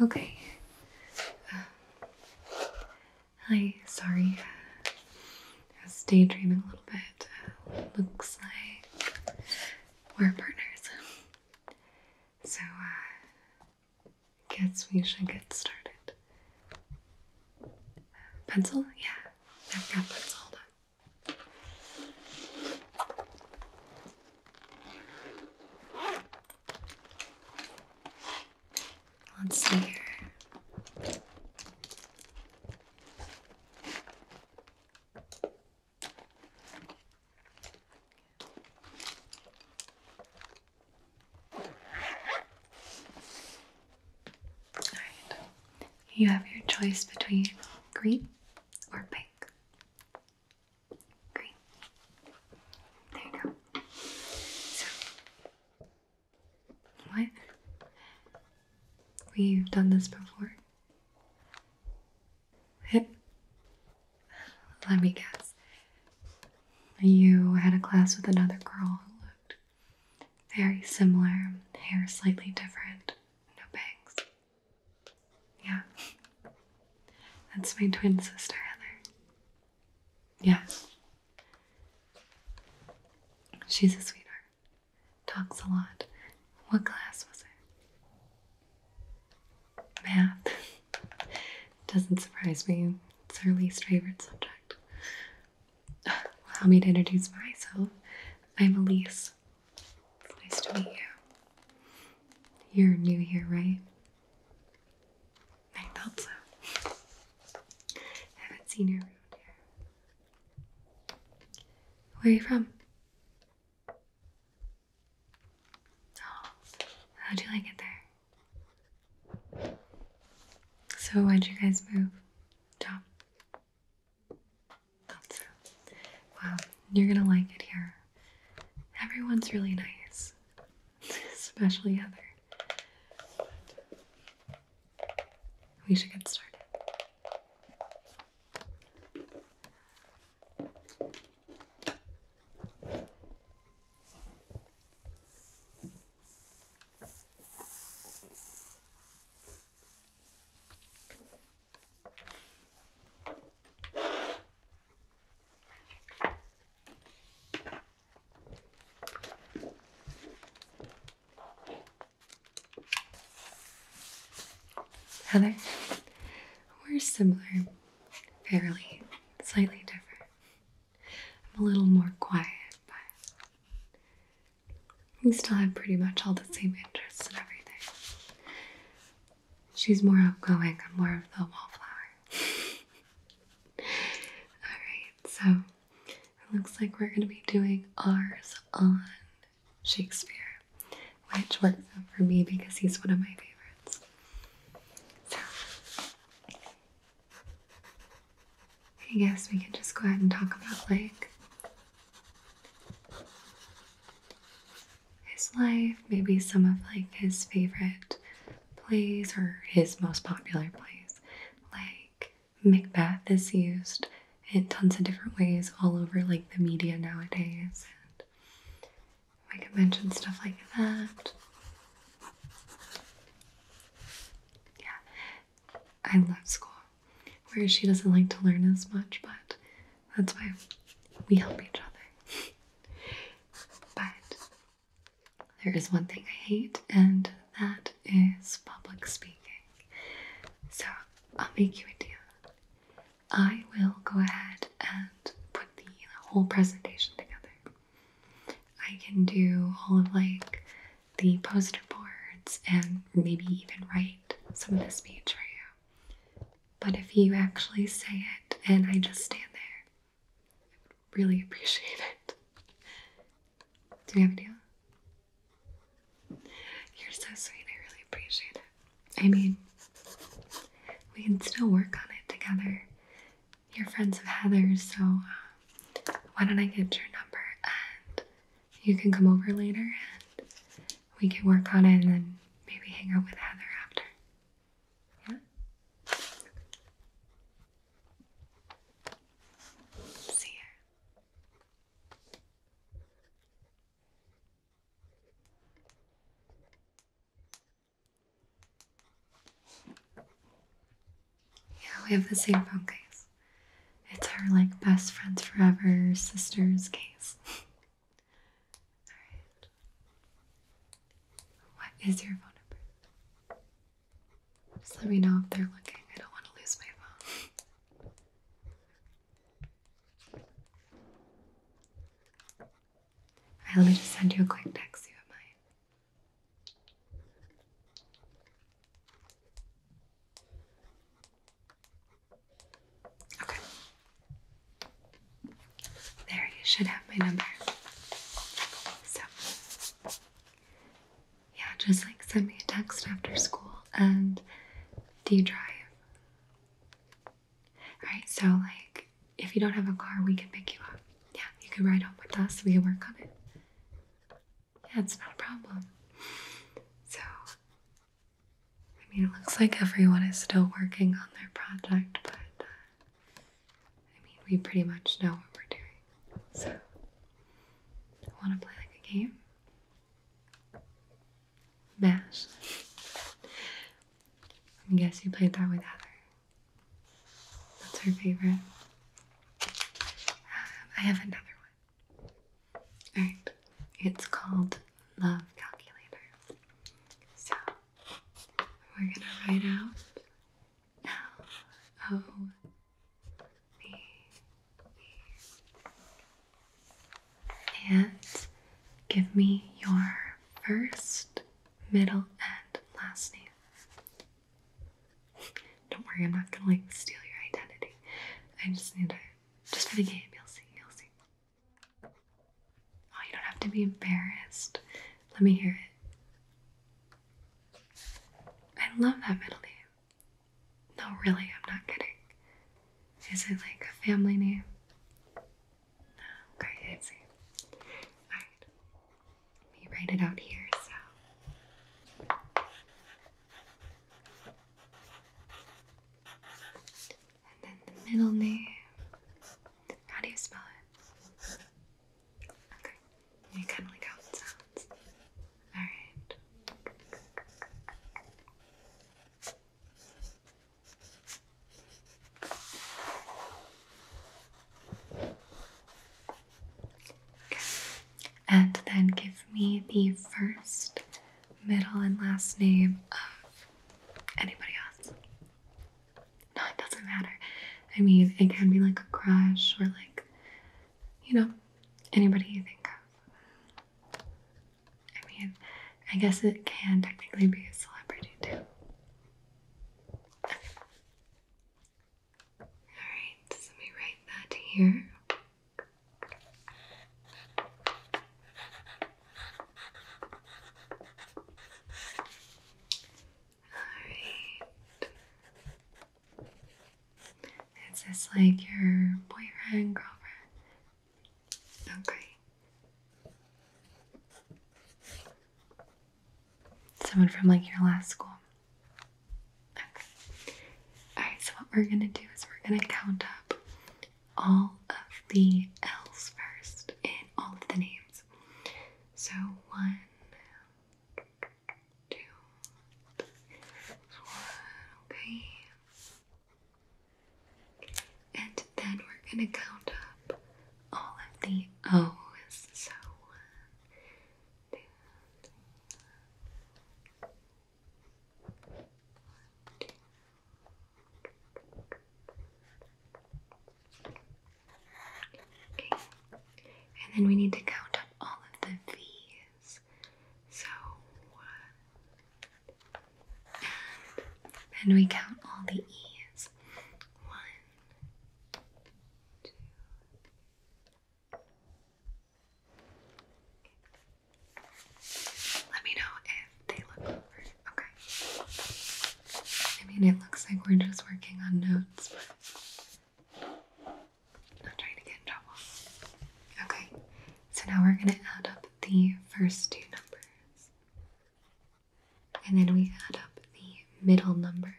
Okay. Uh, hi, sorry. I was daydreaming a little bit. looks like we're partners. So, I uh, guess we should get started. Pencil? Yeah, I've got pencil. on. Let's see here you have your choice between green or pink. Green. There you go. what? We've done this before. Let me guess. You had a class with another girl who looked very similar, hair slightly different, no bangs. Yeah. That's my twin sister, Heather. Yeah. She's a sweetheart. Talks a lot. What class was it? Math. Doesn't surprise me. It's her least favorite subject. Allow me to introduce myself. I'm Elise. nice to meet you. You're new here, right? I thought so. haven't seen you around here. Where are you from? Oh, how'd you like it there? So why'd you guys move? Job? Thought so. Wow, you're gonna like it here. Everyone's really nice. Especially Heather. We should get started. Heather, we're similar, fairly, slightly different. I'm a little more quiet, but we still have pretty much all the same interests and everything. She's more outgoing, I'm more of the wallflower. Alright, so it looks like we're going to be doing ours on Shakespeare, which works out for me because he's one of my favorites. So I guess we could just go ahead and talk about like his life, maybe some of like his favorite plays or his most popular plays. Like Macbeth is used in tons of different ways all over like the media nowadays. And we can mention stuff like that. Yeah, I love school. Whereas she doesn't like to learn as much, but that's why we help each other. but there is one thing I hate, and that is public speaking. So I'll make you a deal. I will go ahead and put the whole presentation together. I can do all of like the poster boards and maybe even write some of the speech for you. But if you actually say it and I just stand there, I would really appreciate it. Do you have a deal? You're so sweet. I really appreciate it. I mean, we can still work on it together you're friends of Heather's, so um, why don't I get your number and you can come over later and we can work on it and then maybe hang out with Heather after. Yeah? See ya. Yeah, we have the same phone case. It's our like best friends forever sister's case. Alright. What is your phone number? Just let me know if they're looking. I don't want to lose my phone. Alright, let me just send you a quick text. You have mine. Okay. There, you should have my number. So, yeah, just like send me a text after school. And do you drive? Right. so like if you don't have a car, we can pick you up. Yeah, you can ride home with us. We can work on it. Yeah, it's not a problem. So, I mean, it looks like everyone is still working on their project, but uh, I mean, we pretty much know what we're doing. So, want to play like a game? Mash. I guess you played that with Heather. That's her favorite. Um, I have another one. Alright, it's called Love Calculator. So, we're gonna write out L O V E. And give me your first, middle, and last name. Don't worry, I'm not gonna like steal your identity. I just need to just for the game, you'll see, you'll see. Oh, you don't have to be embarrassed. Let me hear it. I love that middle name. No, really, I'm not kidding. Is it like a family name? Okay, I see. Alright. Let me write it out here. So. And then the middle name. How do you spell it? Okay. You kind of like how it sounds. Alright. And then give me the first, middle, and last name of anybody else. No, it doesn't matter. I mean, it can be like a crush or like, you know, anybody you think of. I mean, I guess it can technically be a celebrity too. Alright, so let me write that here. Alright. Is this like your boyfriend, girlfriend? Okay. Someone from like your last school. Okay. Alright, so what we're gonna do is we're gonna count up all of the L's first in all of the names. So one, two, one, okay. And then we're gonna count up all of the O's. So one, and then we need to count up all of the V's. So one. And we count all the E's. One, let me know if they look over. Okay. I mean, it looks like we're just working on notes, but not trying to get in trouble. Okay, so now we're going to add up the first two numbers, and then we add up the middle numbers,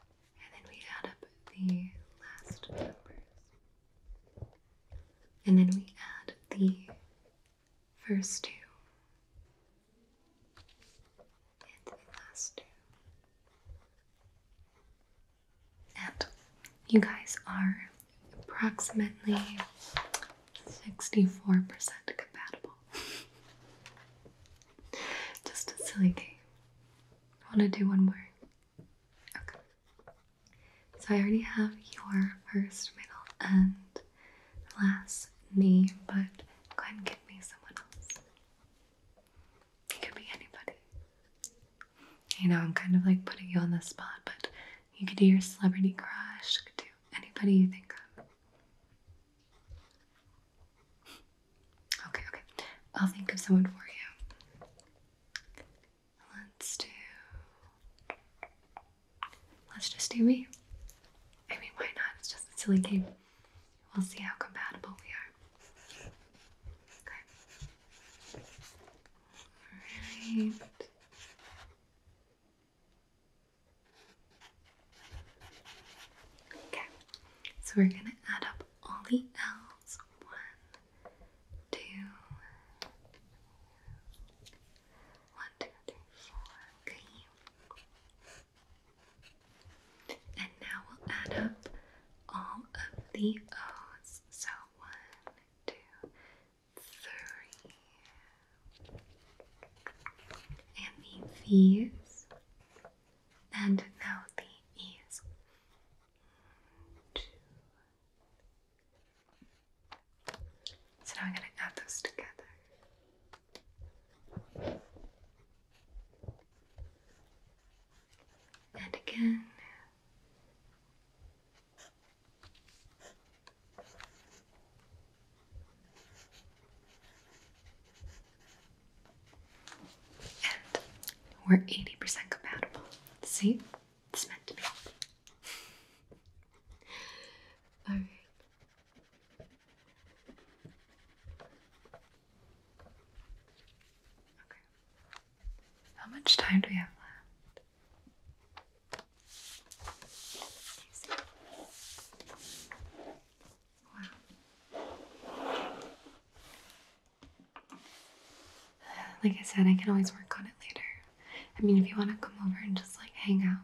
and then we add up the last numbers. And then we add the first two and the last two. And you guys are approximately 64% compatible. Just a silly game. I Want to do one more? Okay. So I already have your first, middle, and last name, but go ahead and give me someone else. It could be anybody. You know, I'm kind of like putting you on the spot, but you could do your celebrity crush, you could do anybody you think of. Okay, okay. I'll think of someone for you. Let's do. Let's just do me. I mean, why not? It's just a silly game. We'll see how compatible we are. Okay. Alright. Okay, so we're going to add up all the L's. One, two, one, two, three, four. And now we'll add up all of the O's. So one, two, three, and in the ears and now the ears. So now I'm going to add those together. And again we're 80% compatible. See? It's meant to be. Alright. Okay. How much time do we have left? Like I said, I can always work on it later. I mean, if you want to come over and just like hang out,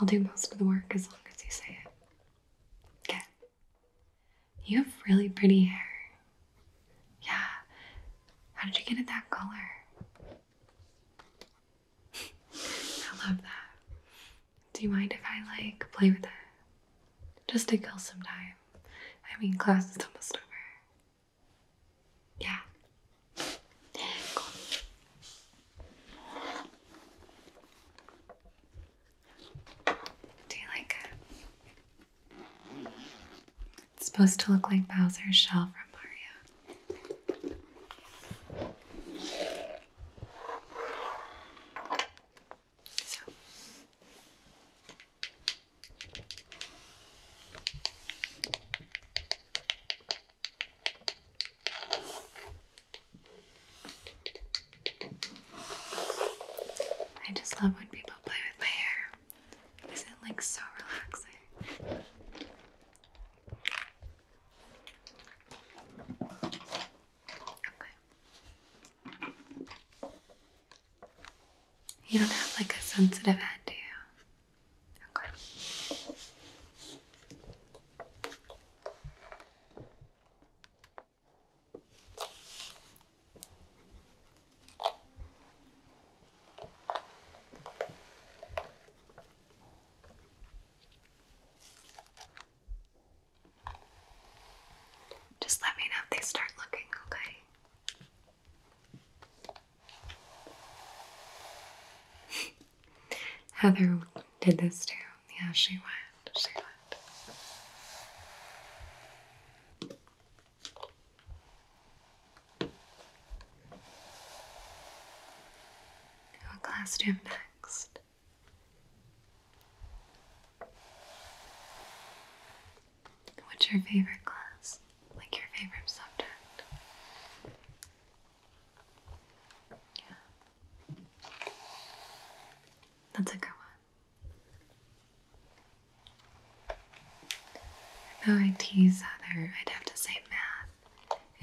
I'll do most of the work as long as you say it. Okay. You have really pretty hair. Yeah. How did you get it that color? I love that. Do you mind if I like play with it? Just to kill some time. I mean, class is almost over. Yeah. Do you like it? It's supposed to look like Bowser's shell from Mario. I just love when people play with my hair. is it like so relaxing? You don't have like a sensitive head, do you? Just let me know if they start looking, okay? Heather did this too. Yeah, she went. She went. What class do you have next? What's your favorite class? Like your favorite subject? Yeah. That's a good one. Though I tease other, I'd have to say math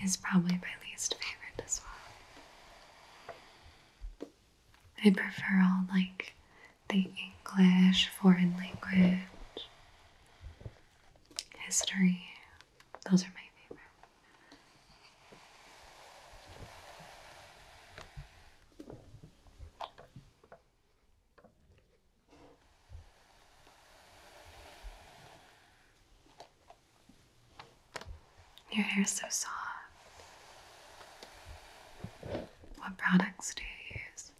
is probably my least favorite as well. I prefer all like the English, foreign language, history. Those are my favorite. Your hair is so soft. What products do you use?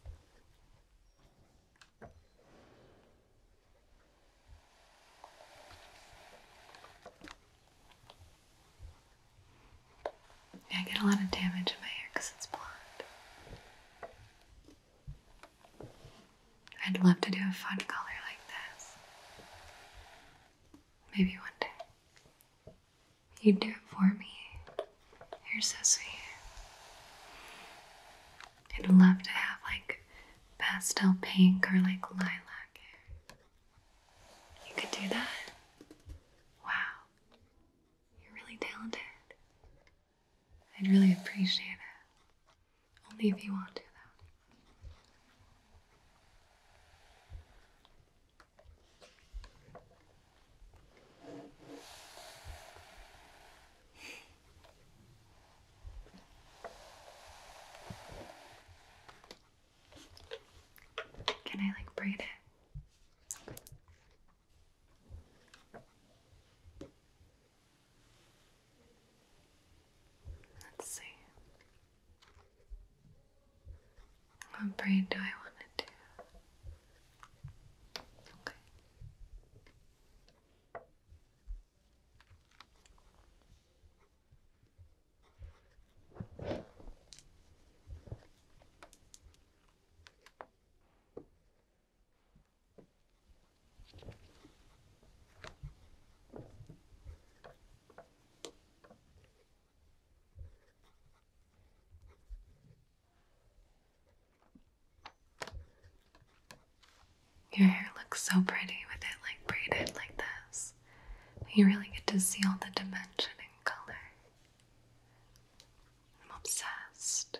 I get a lot of damage in my hair because it's blonde. I'd love to do a fun color like this. Maybe one day. You'd do it for me. You're so sweet. I'd love to have like pastel pink or like lilac hair. You could do that? Wow. You're really talented. I'd really appreciate it. Only if you want to, though. Can I like braid it? Let's see. What braid do I want to do? Okay. Your hair looks so pretty with it like braided like this. You really get to see all the dimension and color. I'm obsessed.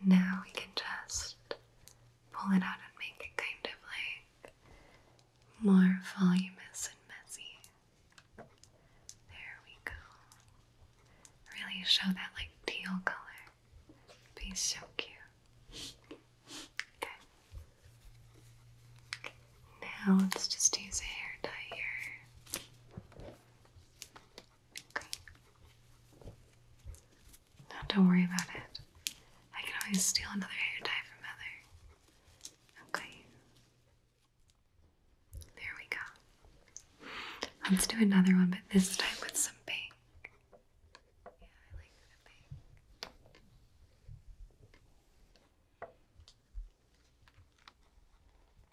And now we can just pull it out and make it kind of like more voluminous and messy. There we go. Really show that like teal color. Be so cute. Okay. Now let's just use a hair dye here don't worry about it. I can always steal another hair dye from Mother. Okay. There we go. Let's do another one, but this time with some pink. Yeah, I like the pink.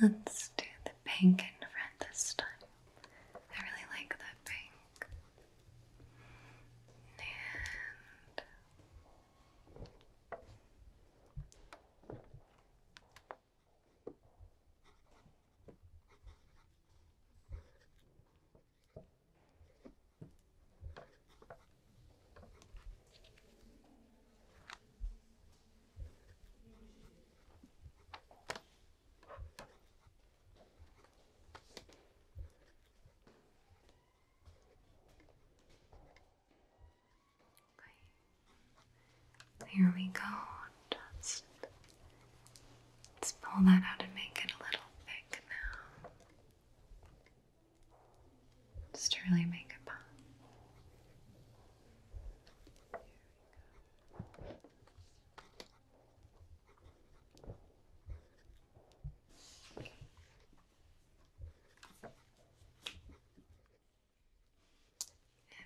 Let's do the pink and front this time. I really like that pink. And here we go. let's pull that out and make it a little thick now. Just to really make it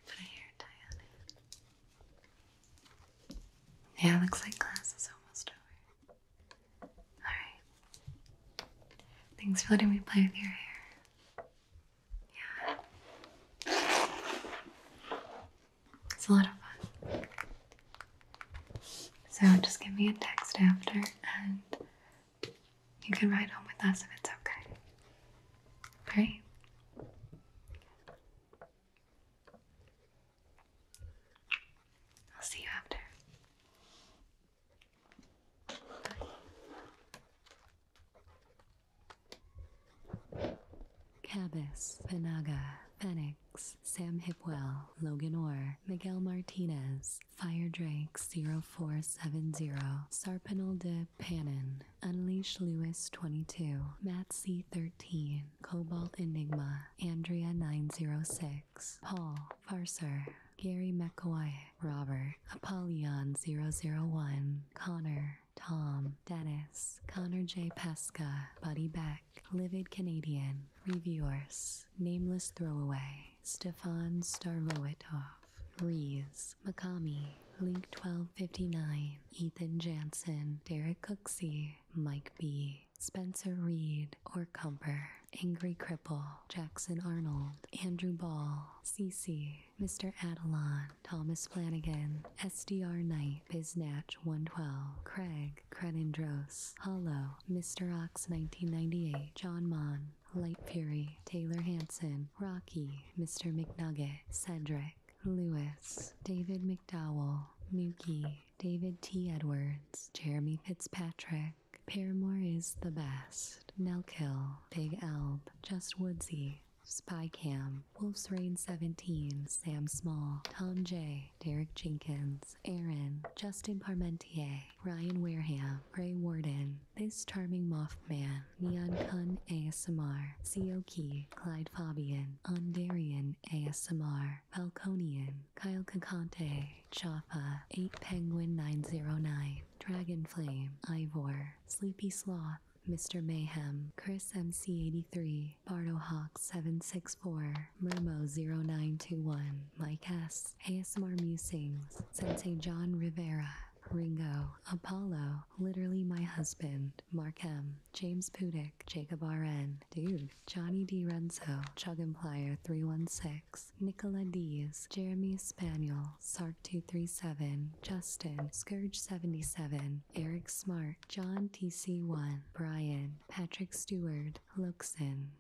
a hair Yeah, looks like class is almost over. Alright. Thanks for letting me play with your hair. Yeah. It's a lot of fun. So just give me a text after and you can ride home with us if it's okay. Alright? I'll see you after. Cabas, Panaga, Fenix, Sam Hipwell, Logan Orr, Miguel Martinez, Fire Drake 0470, Sarpanel de Panin, Unleash Lewis 22, Matt C13, Cobalt Enigma, Andrea 906, Paul, Parser, Gary McAway, Robert, Apollyon001, Connor, Tom, Dennis, Connor J. Pasca, Buddy Beck, Livid Canadian, Reviewers, Nameless Throwaway, Stefan Starvoitov, Rees, Makami, Link1259, Ethan Jansen, Derek Cooksey, Mike B. Spencer Reed, Or Cumper, Angry Cripple, Jackson Arnold, Andrew Ball, CC, Mr. Adelon, Thomas Flanagan, SDR Knight, Biznatch 112, Craig, Crenindros, Hollow, Mr. Ox 1998, John Mon, Light Fury, Taylor Hanson, Rocky, Mr. McNugget, Cedric, Lewis, David McDowell, Nuki, David T. Edwards, Jeremy Fitzpatrick, Paramore is the best. Nelkill. Big Elb. Just Woodsy. Spy Cam, Wolf's Reign 17, Sam Small, Tom J, Derek Jenkins, Aaron, Justin Parmentier, Ryan Wareham, Ray Warden, This Charming Mothman, Neon Kun ASMR, Seoki, Clyde Fabian, Ondarian ASMR, Falconian, Kyle Kakante, Chapa, 8 Penguin 909, Dragon Flame, Ivor, Sleepy Sloth, Mr. Mayhem, Chris MC83, BardoHawk764, Murmo0921, Mike S, ASMR Musings, Sensei John Rivera, Ringo, Apollo, Literally My Husband, Mark James Pudick, Jacob RN, Dude, Johnny D. Renzo, Chug Chugimplier 316, Nicola Diaz, Jeremy Spaniel, Sark 237, Justin, Scourge 77, Eric Smart, John TC1, Brian, Patrick Stewart, Luxon.